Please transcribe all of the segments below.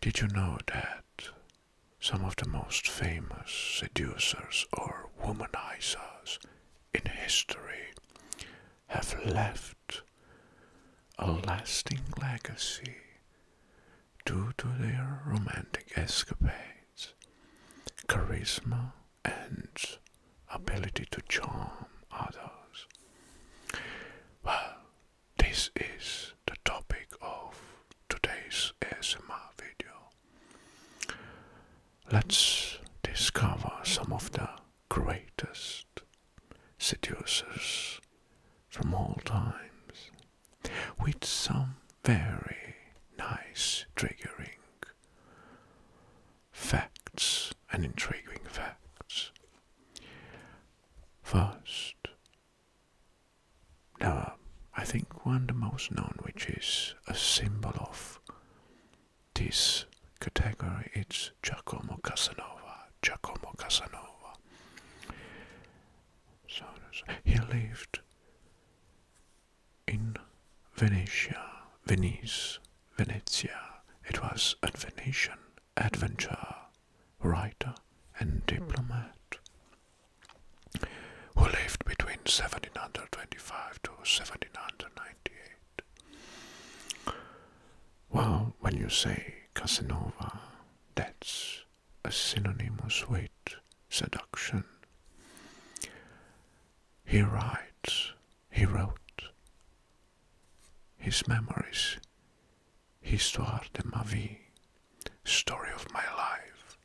Did you know that some of the most famous seducers or womanizers in history have left a lasting legacy due to their romantic escapades, charisma, and ability to charm others. Well, this is the topic of today's ASMR video. Let's discover some of the greatest seducers from all times with some very nice triggering facts and intriguing facts. First, there I think, one the most known, which is a symbol of this category, it's Jacomo Casanova. Jacomo Casanova. So he lived in Venice, Venice, Venetia. It was a Venetian adventurer, writer, and diplomat who lived between 1725 to 1798. Well, when you say Casanova, that's a synonymous with seduction. He writes, he wrote his memories, Histoire de ma vie, story of my life,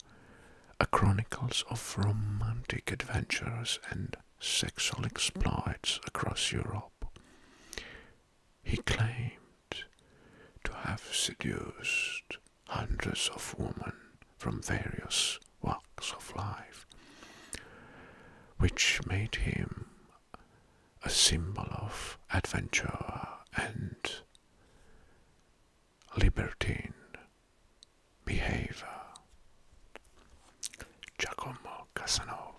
a chronicles of romantic adventures and sexual exploits across Europe. He claimed to have seduced hundreds of women from various walks of life, which made him a symbol of adventure and libertine behavior. Giacomo Casanova.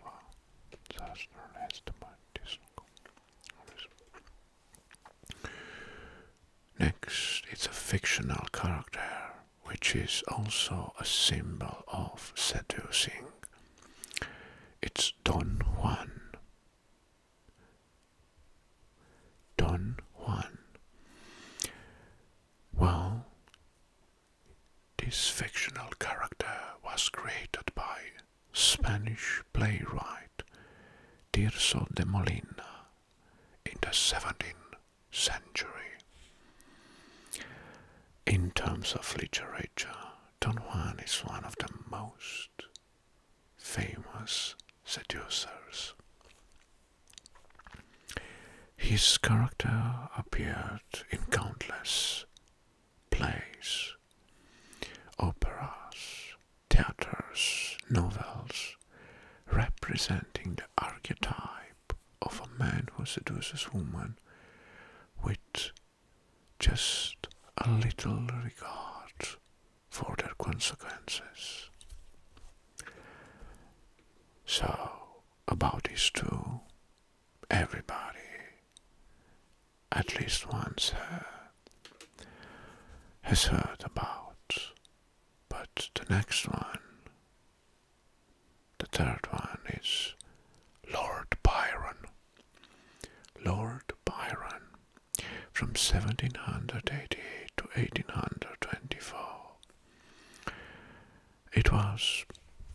Next, it's a fictional character which is also a symbol of seducing. It's Don Juan. Don Juan. Well, this fictional character was created by Spanish playwright Tirso de Molina in the 17 century. In terms of literature, Don Juan is one of the most famous seducers. His character appeared in countless plays, operas, theatres, novels, representing the archetype of a man who seduces woman with just a little regard for their consequences. So, about these two, everybody at least once uh, has heard about, but the next one the third one is Lord Byron. Lord Byron, from 1788 to 1824. It was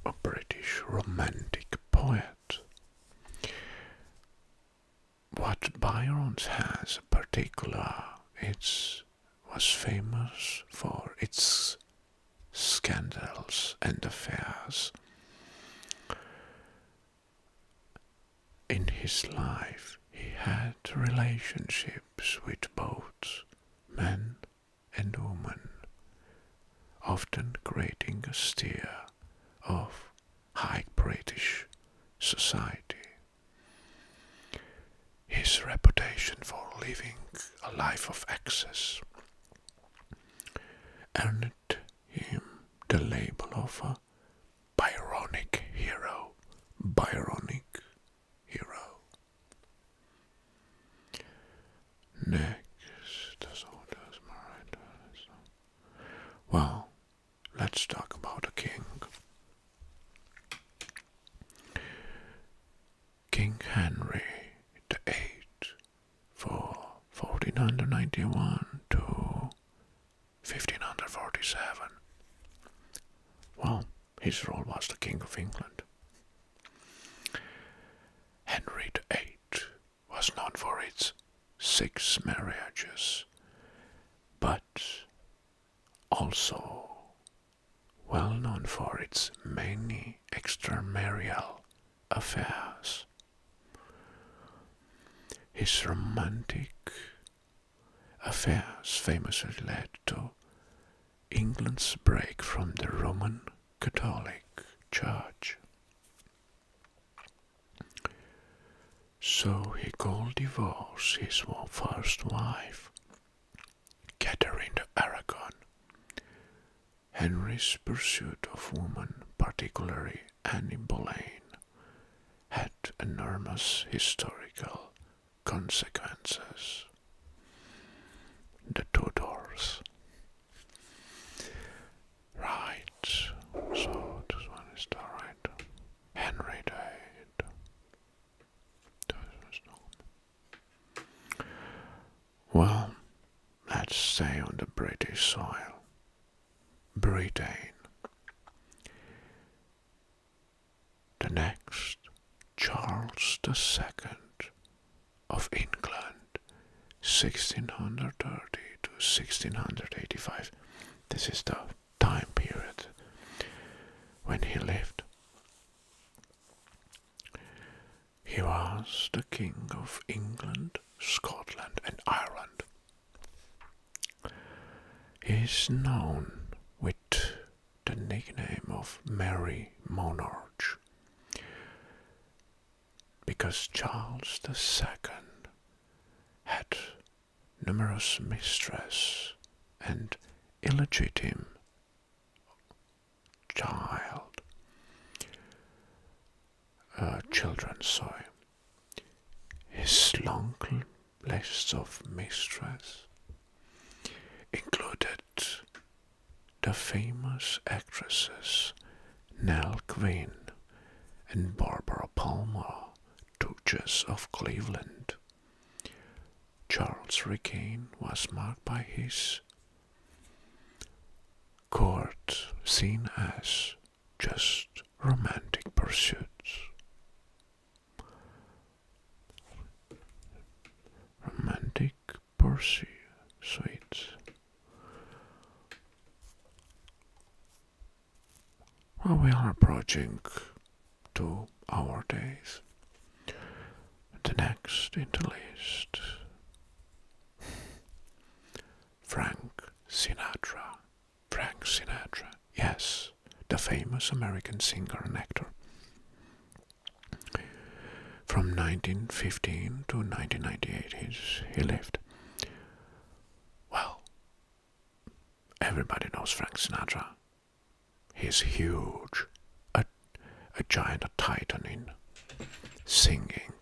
a British romantic poet. What Byron's has particular, it's was famous for its scandals and affairs. In his life, he had relationships with both men and women, often creating a stir of high British society. His reputation for living a life of excess earned him the label of a Byronic hero. Byronic hero. Next, well, let's talk about a king. King Henry VIII for 1491 to 1547. Well, his role was the King of England. Henry VIII was known for its six marriages, but also well known for its many extramarital affairs. His romantic affairs famously led to England's break from the Roman Catholic Church. So he called divorce his first wife Catherine of Aragon. Henry's pursuit of women, particularly Anne Boleyn, had enormous historical consequences. The Tudors. Right, so this one is the Henry died. Well, let's say on the British soil. Britain. The next, Charles II of England, 1630 to 1685. This is the time period when he lived. He was the king of England, Scotland, and Ireland. He is known with the nickname of Merry Monarch because Charles the Second had numerous mistress and illegitimate child uh, children sorry his long list of mistress included the famous actresses Nell Quinn and Barbara Palmer, Duchess of Cleveland. Charles' reign was marked by his court seen as just romantic pursuits. Romantic pursuits. Well, we are approaching to our days. The next in the list Frank Sinatra. Frank Sinatra, yes, the famous American singer and actor. From 1915 to 1998, he lived. Well, Everybody knows Frank Sinatra. He's huge, a, a giant, a titan in singing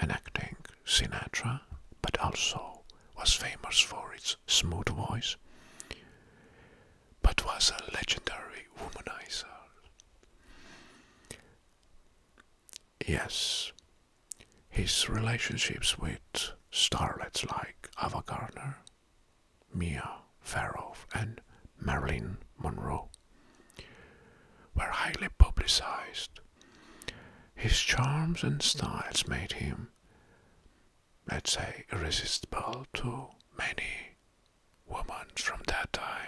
and acting. Sinatra, but also was famous for its smooth voice, but was a legendary womanizer. Yes, his relationships with starlets like Ava Gardner, Mia Farrow, and Marilyn Monroe were highly publicized. His charms and styles made him, let's say, irresistible to many women from that time.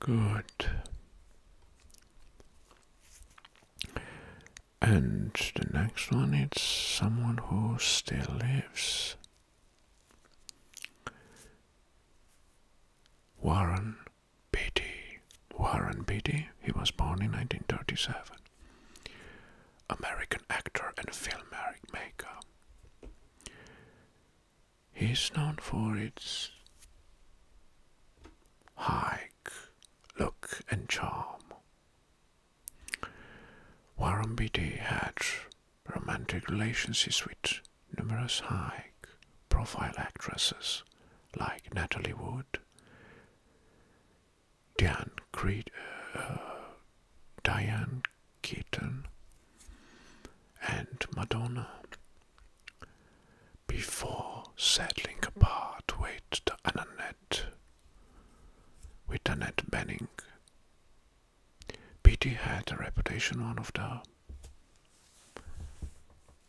Good. And the next one is someone who still lives. Warren Beatty. Warren Beatty, he was born in 1937. American actor and filmmaker. He is known for its hike, look, and charm. Warambidi had romantic relationships with numerous high profile actresses like Natalie Wood, Diane, Creed, uh, Diane Keaton and Madonna before settling apart with Annette, with Annette Benning. P.D. had a reputation one of the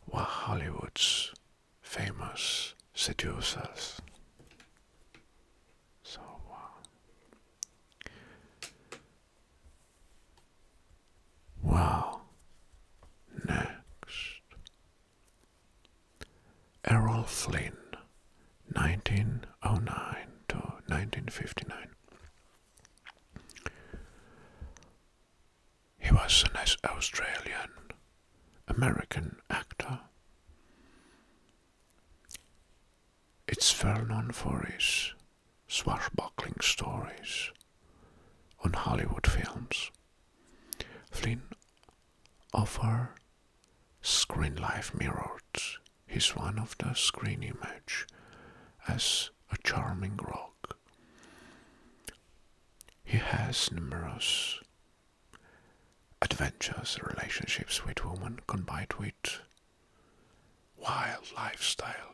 one Hollywood's famous seducers. So, uh, Wow. Next. Errol Flynn, 1909 to 1959. He was an Australian American actor. It's well known for his swashbuckling stories on Hollywood films. Flynn offer screen life mirrors his one of the screen image as a charming rock. He has numerous adventures, relationships with women combined with wild lifestyle.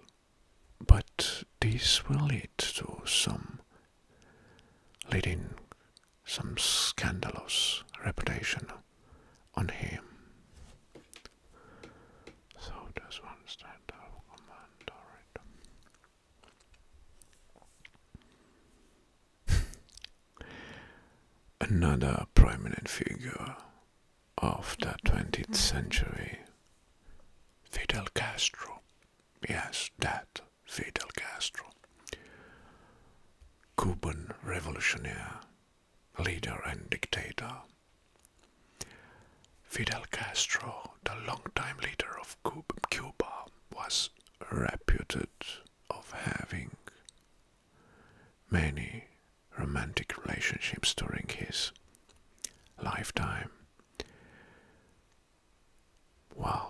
But this will lead to some leading some scandalous reputation on him. So does one stand up command alright. Another prominent figure of the 20th century, Fidel Castro. Yes, that Fidel Castro. Cuban revolutionary, leader and dictator. Fidel Castro, the longtime leader of Cuba, was reputed of having many romantic relationships during his lifetime. Wow.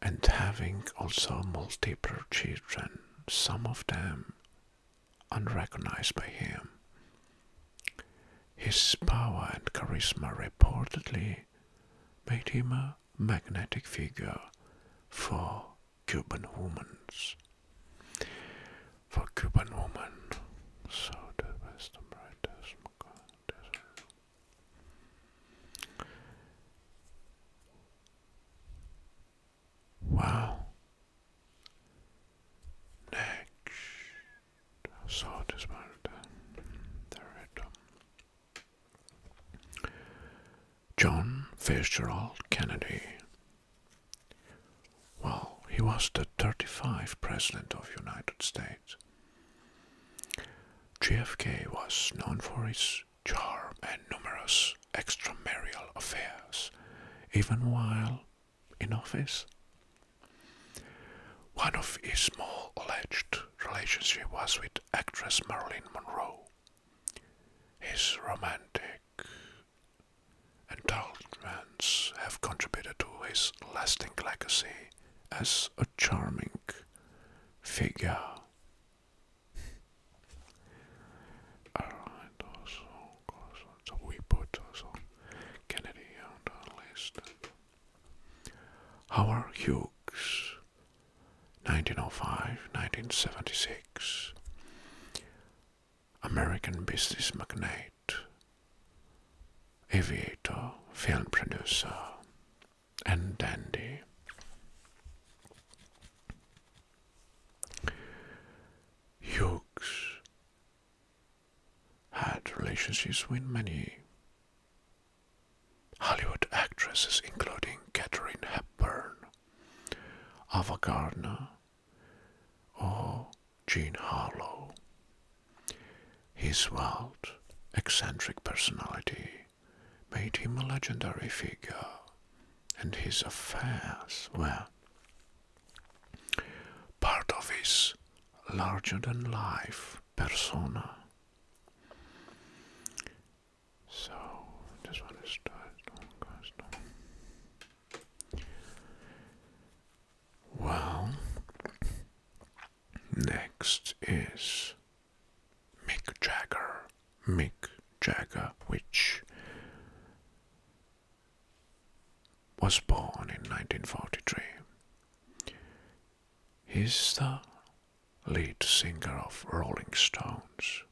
And having also multiple children, some of them unrecognized by him. His power and charisma reportedly made him a magnetic figure for Cuban women's. For Cuban women, Wow. Next, so this one, the rhythm. John Fitzgerald Kennedy. Well, he was the 35th President of United States. JFK was known for his charm and numerous extramarital affairs, even while in office. One of his more alleged relationships was with actress Marilyn Monroe, his romantic indulgences have contributed to his lasting legacy as a charming figure. we put Kennedy on the list. Howard Hughes 1905 1976. American business magnate, aviator, film producer, and dandy. Hughes had relationships with many Hollywood actresses including Katharine Hepburn, Ava Gardner, or Jean Harlow. His wild, eccentric personality made him a legendary figure, and his affairs were part of his larger than life persona. So, just want to start on custom. Well, next is Mick Jagger. Mick Jagger, which was born in 1943. He's the lead singer of Rolling Stones.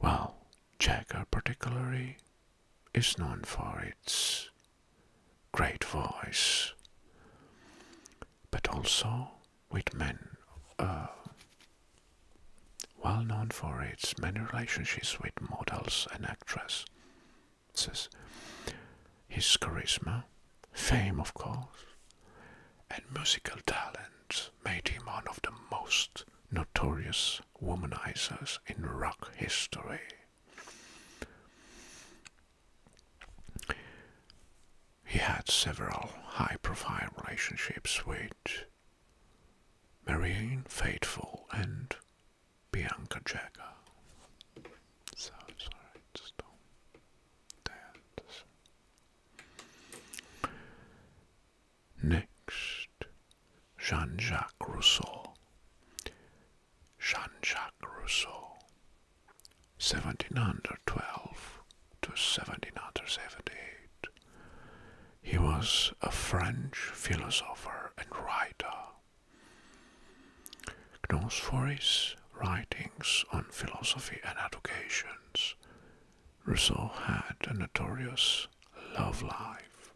Well, Jagger particularly is known for its great voice, but also Whitman, uh, well known for its many relationships with models and actresses his charisma, fame of course, and musical talent made him one of the most notorious womanizers in rock history. He had several high profile relationships with Marianne Faithfull and Bianca Jagger. So sorry, Next, Jean Jacques Rousseau. Jean Jacques Rousseau, 1712 to 1788. He was a French philosopher and writer. Known for his writings on philosophy and educations, Rousseau had a notorious love life.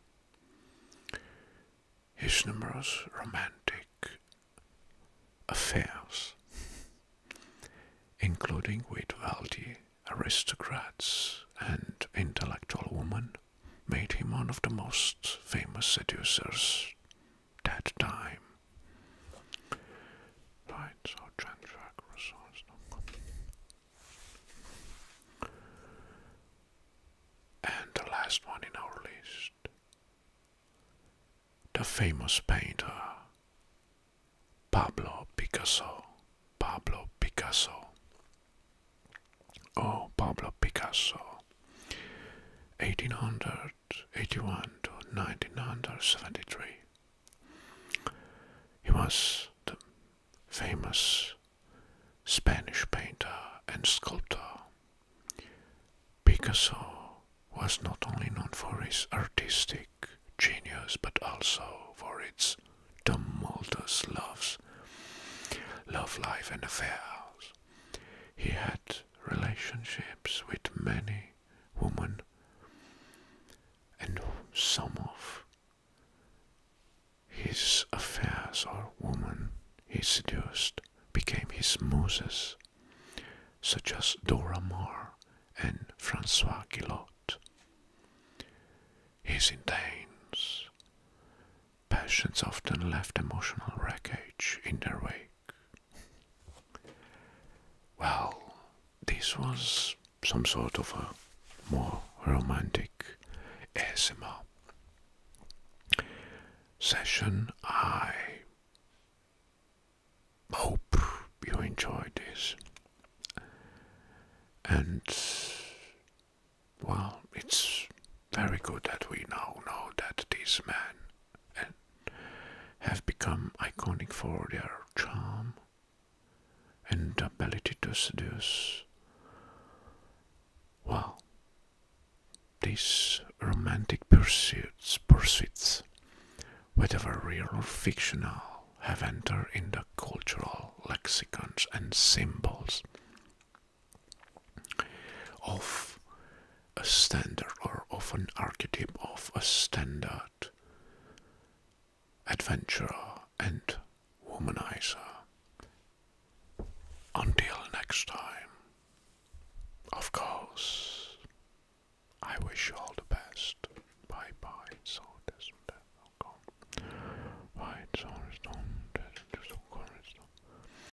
His numerous romantic affairs, including with wealthy aristocrats and intellectual women, made him one of the most famous seducers that time. Right, so transfer croissants. And the last one in our list the famous painter Pablo Picasso. Pablo Picasso. Oh, Pablo Picasso. 1800 Eighty-one to ninety-nine, or seventy-three. He was the famous Spanish painter and sculptor. Picasso was not only known for his artistic genius but also for its tumultuous loves, love life and affairs. He had relationships with many women and some of his affairs or women he seduced became his muses, such as Dora Maar and Francois Guillot. His intense passions often left emotional wreckage in their wake. Well, this was some sort of a more romantic ASMR session. I hope you enjoyed this. And well, it's very good that we now know that these men have become iconic for their charm and ability to seduce. Well, these romantic pursuits, pursuits, whether real or fictional, have entered into cultural lexicons and symbols of a standard or of an archetype of a standard adventurer and womanizer. Until next time, of course, I wish you all the best. Bye bye. So this Right,